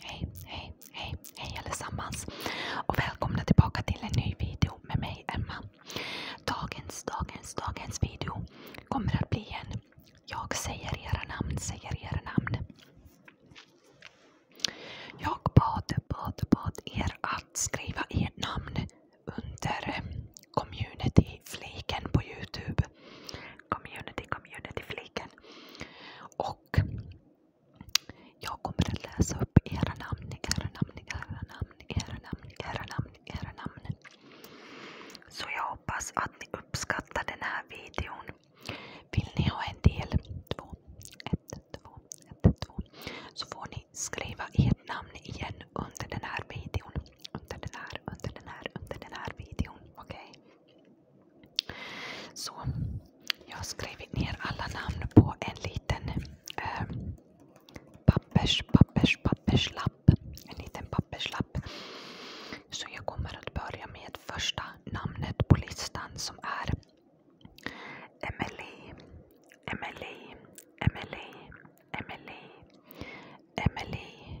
Hej, hej, hej, hej allesammans och välkomna tillbaka till en ny video med mig Emma. Dagens, dagens, dagens video kommer att bli en Jag säger era namn, säger era namn. Jag bad, bad, bad er att skriva ert namn under community-fliken på Youtube. Community, community-fliken. Och jag kommer att läsa upp era namn, era namn, era namn, era namn, era namn, era namn. Så jag hoppas att ni uppskattar den här videon. Vill ni ha en del 2, 1, 2, 1, 2 så får ni skriva ert namn igen under den här videon. Under den här, under den här, under den här videon. Okej? Okay? Så, jag har skrivit ner alla namn på en liten eh, pappers, pappers, papperslapp. En liten papperslapp. Så jag kommer att börja med första namnet på listan som är Emelie, Emelie, Emelie, Emelie, Emelie.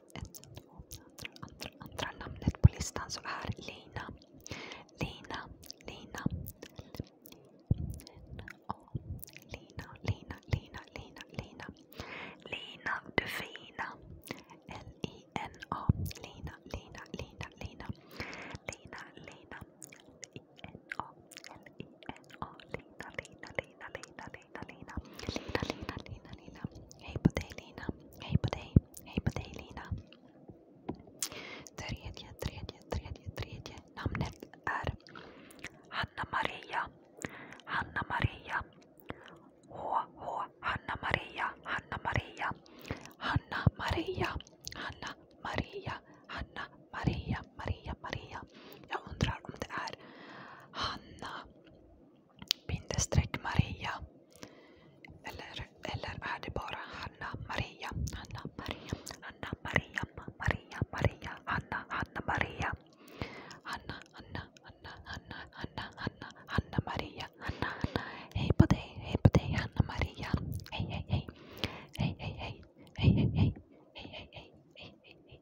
andra, andra, andra namnet på listan så är Lina. Lina, Lina. Lina, Lina, Lina, Lina, Lina. Lina du fina. L-I-N-A. Lina, Lina, Lina, Lina. Lina, Lina. L-I-N-A. L-I-N-A. Lina, Lina, Lina. Lina, Lina, Lina, Lina. Lina, Lina, Lina, Lina. Hej på dig Lina. Hej på dig. Hej på dig Lina. Tredje, tredje, tredje, tredje namnet är Hanna Maria. Hanna Maria. H-H. Hanna Maria. Hanna Maria. Hanna Maria. Hanna Maria. Hanna Maria. Maria Maria. Jag undrar om det är Hanna Bindestreck Maria. Eller, eller är det bara Hanna Maria? Hanna Maria, Hanna Maria, Maria, Maria, Hanna, Hanna Maria. Hanna, Hanna, Hanna, Hanna, Hanna, Hanna, Hanna Maria. Hanna, Hanna. Hej på dig, hej på dig Hanna Maria. Hej, hej, hej. Hej, hej, hej. Hej, hej, hej. Hej, hej, hej. Hej, hej, hej.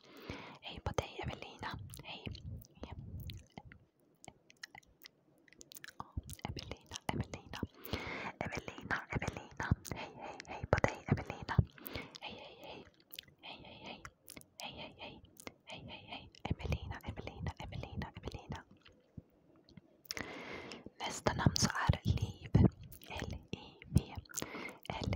Hej på dig Evelina. Hej. Ja. Evelina, Evelina. Evelina, Evelina. Hej, hej, hej på dig Evelina. Hej, hej, hej. Hej, hej, hej. Hej, hej, hej. Hej, hej, hej. Evelina, Evelina, Evelina, Evelina. Nästa namn så är Liv. L-I-V. L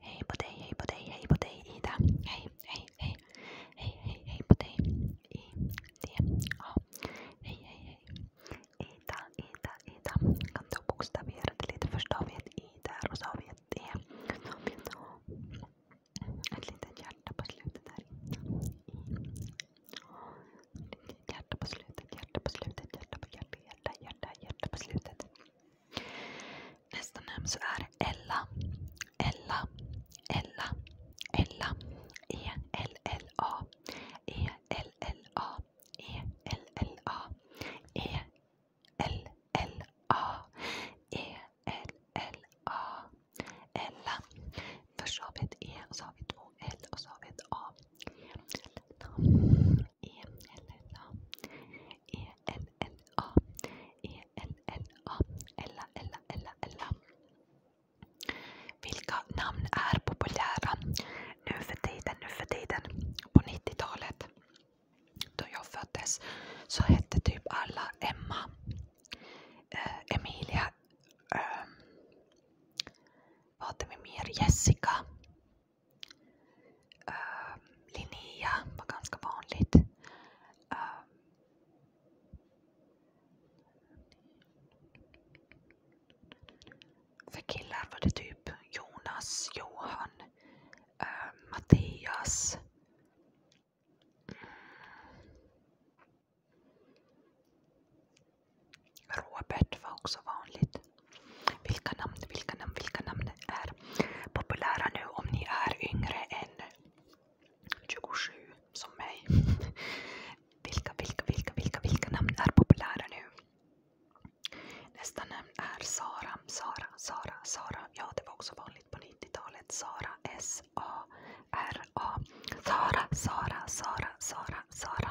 Hej på dig, hej på dig, hej på dig Ida. Hej, hej, hej. Hej, hej, hej på dig. I, D, A. Hej, hej, hej. Ida, Ida, Ida. Kan du bokstavera det lite? Först har vi ett I där och så har vi ett D. Så har vi ett Ett litet hjärta på slutet där. I. Hjärta på slutet, hjärta på slutet, hjärta på hjärta, hjärta, hjärta, hjärta på slutet. Nästa namn så är Ella. Ella. Ella. Ella. E-L-L-A. E-L-L-A. E-L-L-A. E-L-L-A. E-L-L-A. Ella. Först har vi ett E och så har vi två L och så har vi ett A. E-L-L-A. E vilka namn är populära nu för tiden, nu för tiden? På 90-talet, då jag föddes, så hette typ alla Emma, eh, Emilia, eh, vad hade vi mer? Jessica, Uh, Linnea var ganska vanligt. Uh, för killar var det typ Jonas, Johan, uh, Mattias. Robert var också vanligt. Vilka namn, vilka namn, vilka namn är populära nu om ni är yngre än 27 som mig? Vilka, vilka, vilka, vilka, vilka namn är populära nu? Nästa namn är Sara, Sara, Sara, Sara. Ja, det var också vanligt på 90-talet. Sara, S-A-R-A. Sara, Sara, Sara, Sara, Sara.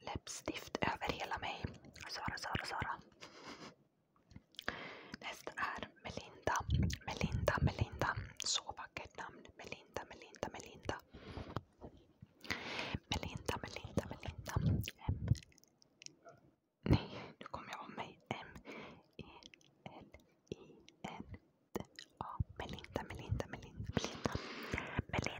Läppstift över hela mig. Sara, Sara, Sara. Nästa är Melinda. Melinda, Melinda. Så vackert namn. Melinda, Melinda, Melinda. Melinda, Melinda, Melinda. M. Nej, nu kommer jag av mig. E. M-E-L-I-N-D-A. Melinda, Melinda, Melinda, Melinda. Melinda.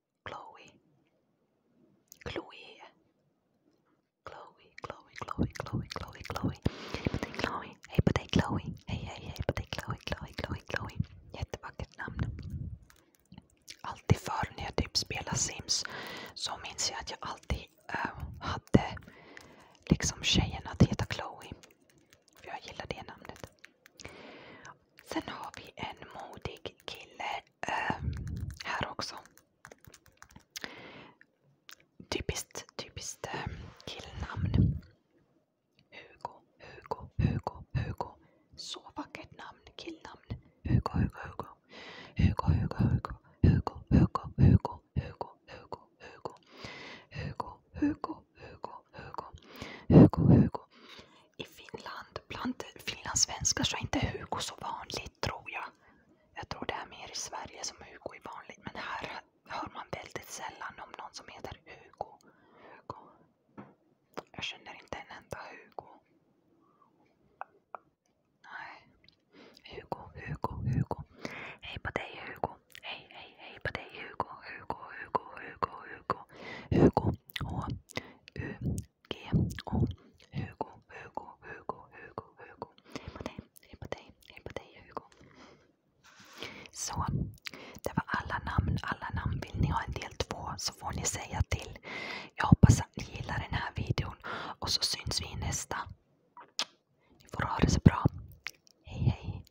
Chloe. Chloe. Chloe, Chloe, Chloe, Chloe, Chloe, Chloe. Hej på dig Chloe. Hej på dig Chloe. Hej, hej, hej på dig Chloe, Chloe, Chloe, Chloe. Jättevackert namn. Alltid förr när jag typ spelade Sims så minns jag att jag alltid äh, hade liksom tjejen att heta Chloe. För jag gillar det namnet. Sen har vi en modig kille äh, här också. Typiskt, typiskt äh, killnamn. Hugo, Hugo, Hugo, Hugo. Så vackert namn, killnamn. Hugo, Hugo, Hugo. Hugo, Hugo, Hugo. Hugo, Hugo, Hugo. Hugo, Hugo, Hugo. Hugo, Hugo, Hugo, Hugo, Hugo, Hugo. I Finland, bland finlandssvenskar så är inte Hugo så vanligt tror jag. Jag tror det är mer i Sverige som Hugo är vanligt. Men här hör man väldigt sällan om någon som heter Hugo. Hugo. Jag känner inte en enda Hugo. Nej. Hugo, Hugo, Hugo. Hej på dig Hugo. Hej, hej, hej på dig Hugo. Hugo, Hugo, Hugo, Hugo, Hugo, H, U, G, O. Hugo, Hugo, Hugo, Hugo, Hugo. Hej på dig, hej på dig, hej på dig Hugo. Så, det var alla namn, alla namn. Vill ni ha en del två så får ni säga till. Jag hoppas att ni gillar den här videon och så syns vi i nästa. Ni får ha det så bra. Hej hej.